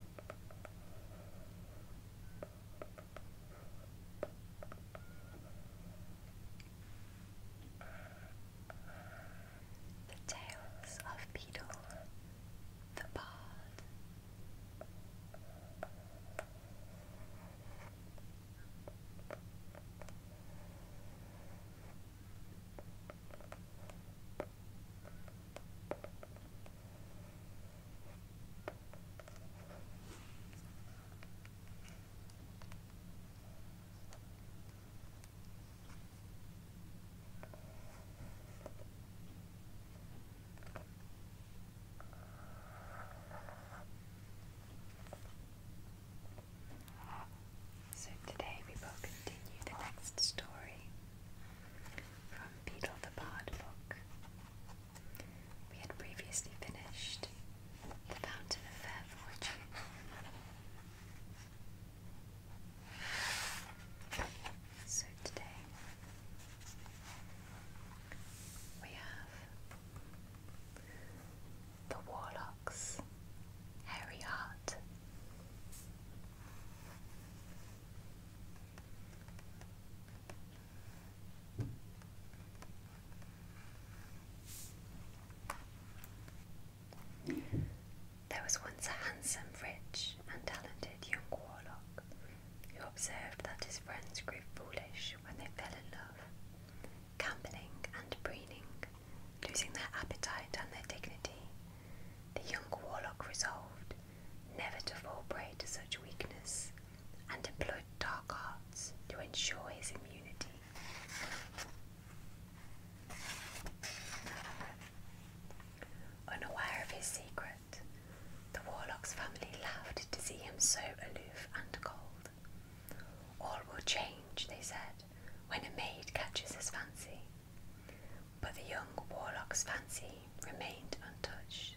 The Tales of Beetle, the Bard. So today we will continue the next story from Beetle the Pod book. We had previously finished The Fountain of Fair Fortune. So today we have The Warlocks, Harry there was once a handsome, rich, and talented young warlock who observed that his friends grew foolish when they fell in love, gambling and preening losing their appetite and their dignity, the young warlock resolved never to fall prey to such weakness and employed dark arts to ensure his immunity. Unaware of his secret, the warlock's family laughed to see him so aloof and cold. All will change, they said, when a maid catches his fancy. But the young warlock's fancy remained untouched,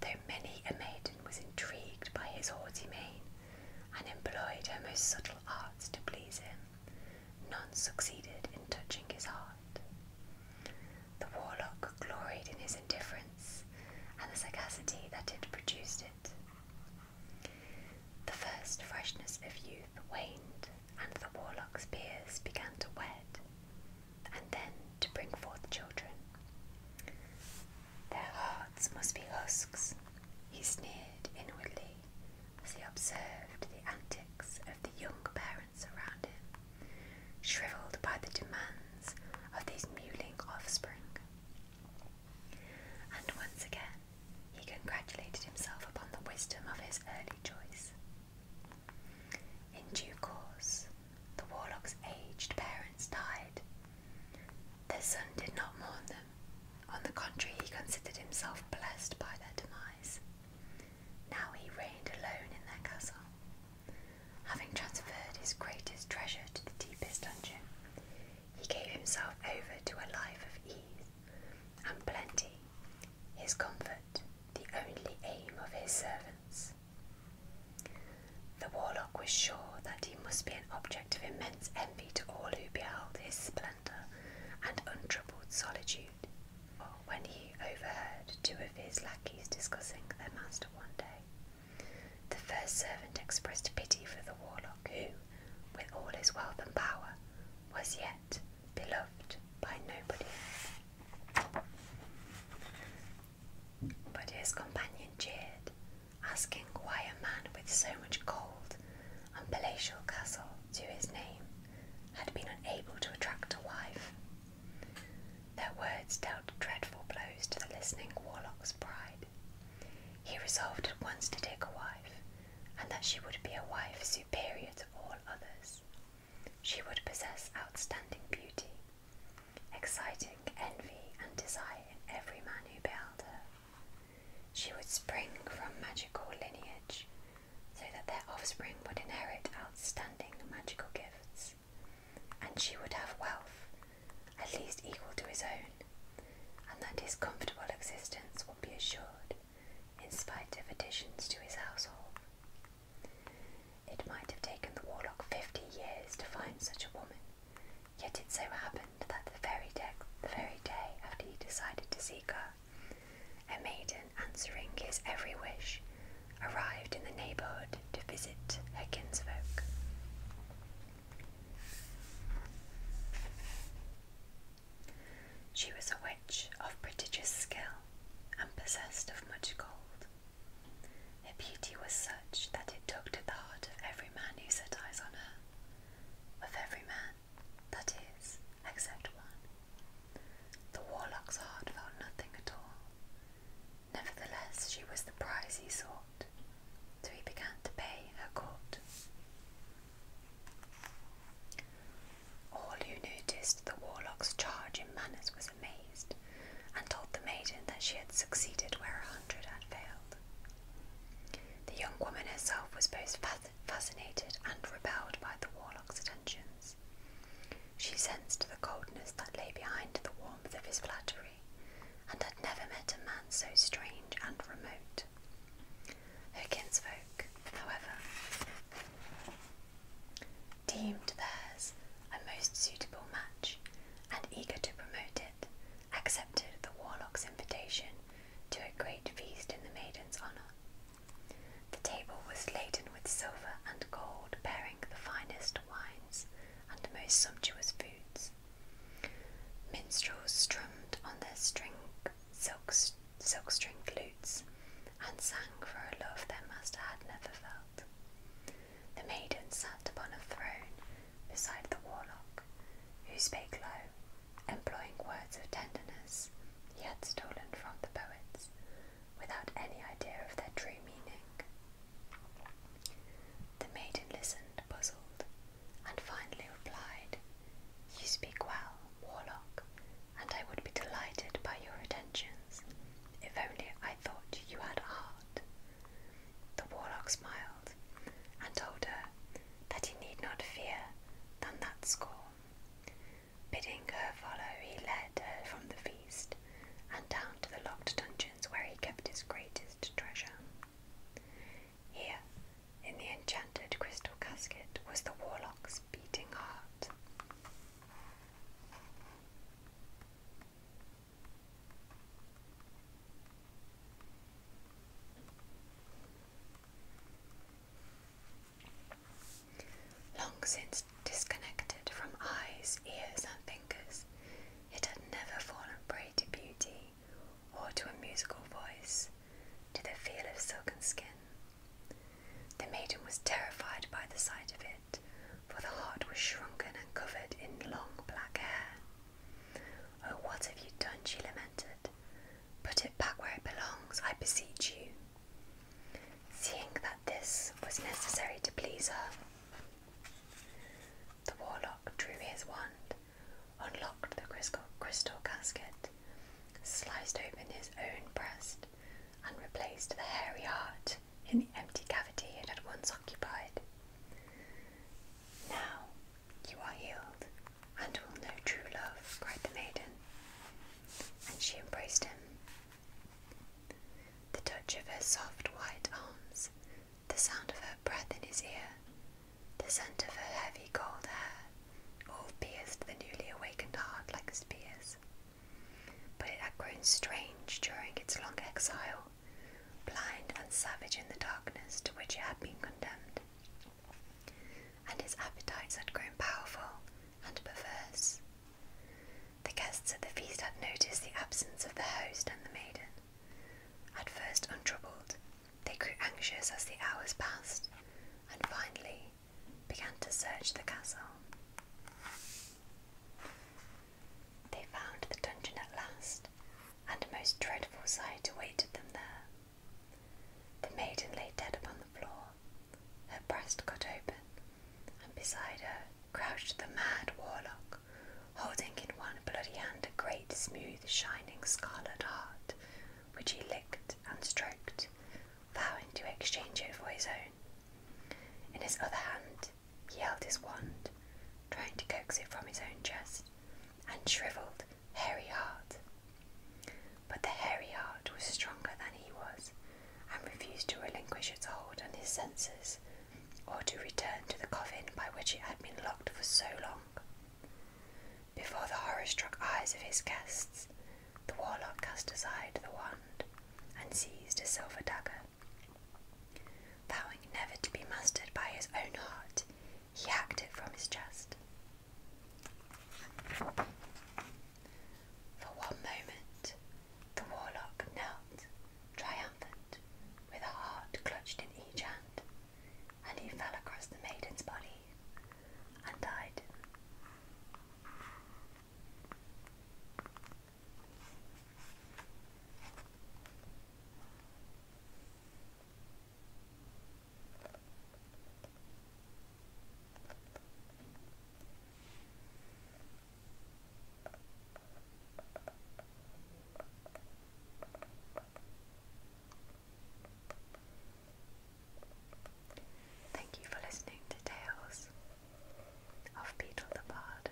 though many a maiden was intrigued by his haughty mien and employed her most subtle arts to please him. None succeeded in touching his heart. The warlock gloried in his indifference and the sagacity that had produced it. The first freshness of youth waned, and the warlock's peers began to wet, and then to bring forth children. Their hearts must be husks, he sneered inwardly as he observed the antics of the young parents around him, shrivelled by the demands of these mewling offspring. And once again, he congratulated himself upon the wisdom of his early choice. In due course, the warlock's aged parents died. Their son did not mourn them. On the contrary, he considered himself blessed by their demise. Now he reigned alone in their castle. Having transferred his greatest treasure to the deepest dungeon, he gave himself over to a life of ease and plenty, his comfort the only aim of his servants. The warlock was sure that he must be an object of immense envy to all who beheld his splendour and untroubled solitude, when he overheard two of his lackeys discussing their master one day. The first servant expressed pity for the warlock who, with all his wealth and power, was yet beloved by nobody. But his companion jeered, asking why a man with so much gold and palatial castle to his name had been unable to attract a wife. Their words dealt dreadful blows to the listening warlock's pride. He resolved at once to take a wife, and that she would be a wife superior to all others. She would possess outstanding beauty, exciting envy and desire in every man who beheld her. She would spring from magical lineage, so that their offspring would inherit outstanding magical gifts and she would have wealth, at least equal to his own, and that his comfortable existence would be assured in spite of additions to his household. It might have taken the warlock fifty years to find such a woman, yet it so happened that the very, the very day after he decided to seek her, a maiden answering his every wish arrived in the neighbourhood to visit her kinsfolk. She was a witch of prodigious skill and possessed of much gold. Her beauty was such that it took to the heart of every man who set eyes on her, of every man, that is, except one. The warlock's heart felt nothing at all, Nevertheless, she was the prize he sought, so he began to pay her court. All who noticed the warlock's charge in manners was amazed, and told the maiden that she had succeeded where a hundred had failed. The young woman herself was both fascinated and repelled by the warlock's attentions, she sensed the coldness that lay behind the warmth of his flattery, and had never met a man so strange and remote. Her kinsfolk, however, deemed theirs a most suitable match, and eager to promote it, accepted the warlock's invitation to a great feast in the maiden's honour. The table was laden with silver and gold bearing the finest wines and the most sumptuous foods. Minstrels strummed on their string, silk, silk string flutes and sang for a love their master had never felt. The maiden sat upon a throne beside the warlock, who spake low, employing words of tenderness he had stolen from the poets, without any idea of their true meaning. The maiden listened, puzzled, and finally replied, You speak well, warlock, and I would be delighted by your attentions, if only I thought you had heart. The warlock smiled and told her that he need not fear than that scorn, Bidding her follow, he led her from the feast and down to the locked dungeons where he kept his greatest treasure. Here, in the enchanted crystal casket, was the warlock's beating heart. Long since disconnected from eyes, ears, and fingers, it had never fallen prey to beauty or to a musical voice, to the feel of silken skin. The maiden was terrified by the sight of it, for the heart was shrunken and covered in long black hair. Oh, what have you done? she lamented. Put it back where it belongs, I beseech you. Seeing that this was necessary to please her, the warlock drew his wand, unlocked the crystal, crystal casket, sliced open his own breast, and replaced the hairy heart in the empty cavity it had once occupied. Now you are healed, and will know true love, cried the maiden. And she embraced him. The touch of her soft white arms, the sound of her breath in his ear, the scent of her heavy gold hair, all pierced the newly awakened heart like spears. But it had grown strange during its long exile, blind and savage in the darkness to which it had been condemned and his appetites had grown powerful and perverse. The guests at the feast had noticed the absence of the host and the maiden. At first untroubled, they grew anxious as the hours passed, and finally began to search the castle. They found the dungeon at last, and a most dreadful sight awaited them there. The maiden lay dead upon the floor, her breast cut open, and beside her crouched the mad warlock, holding in one bloody hand a great, smooth, shining scarlet heart, which he licked and stroked, vowing to exchange it for his own. In his other hand, he held his wand, trying to coax it from his own chest, and shrivelled Hairy Heart. But the Hairy Heart was stronger than he was, and refused to relinquish its hold on his senses, or to return to the coffin by which it had been locked for so long. Before the horror struck eyes of his guests, the warlock cast aside the wand and seized a silver dagger. Vowing never to be mastered by his own heart, he hacked it from his chest. For one moment, the warlock knelt, triumphant, with a heart clutched in each hand, and he fell across the maiden's body and died. Thank you for listening to Tales of Beetle the Bard.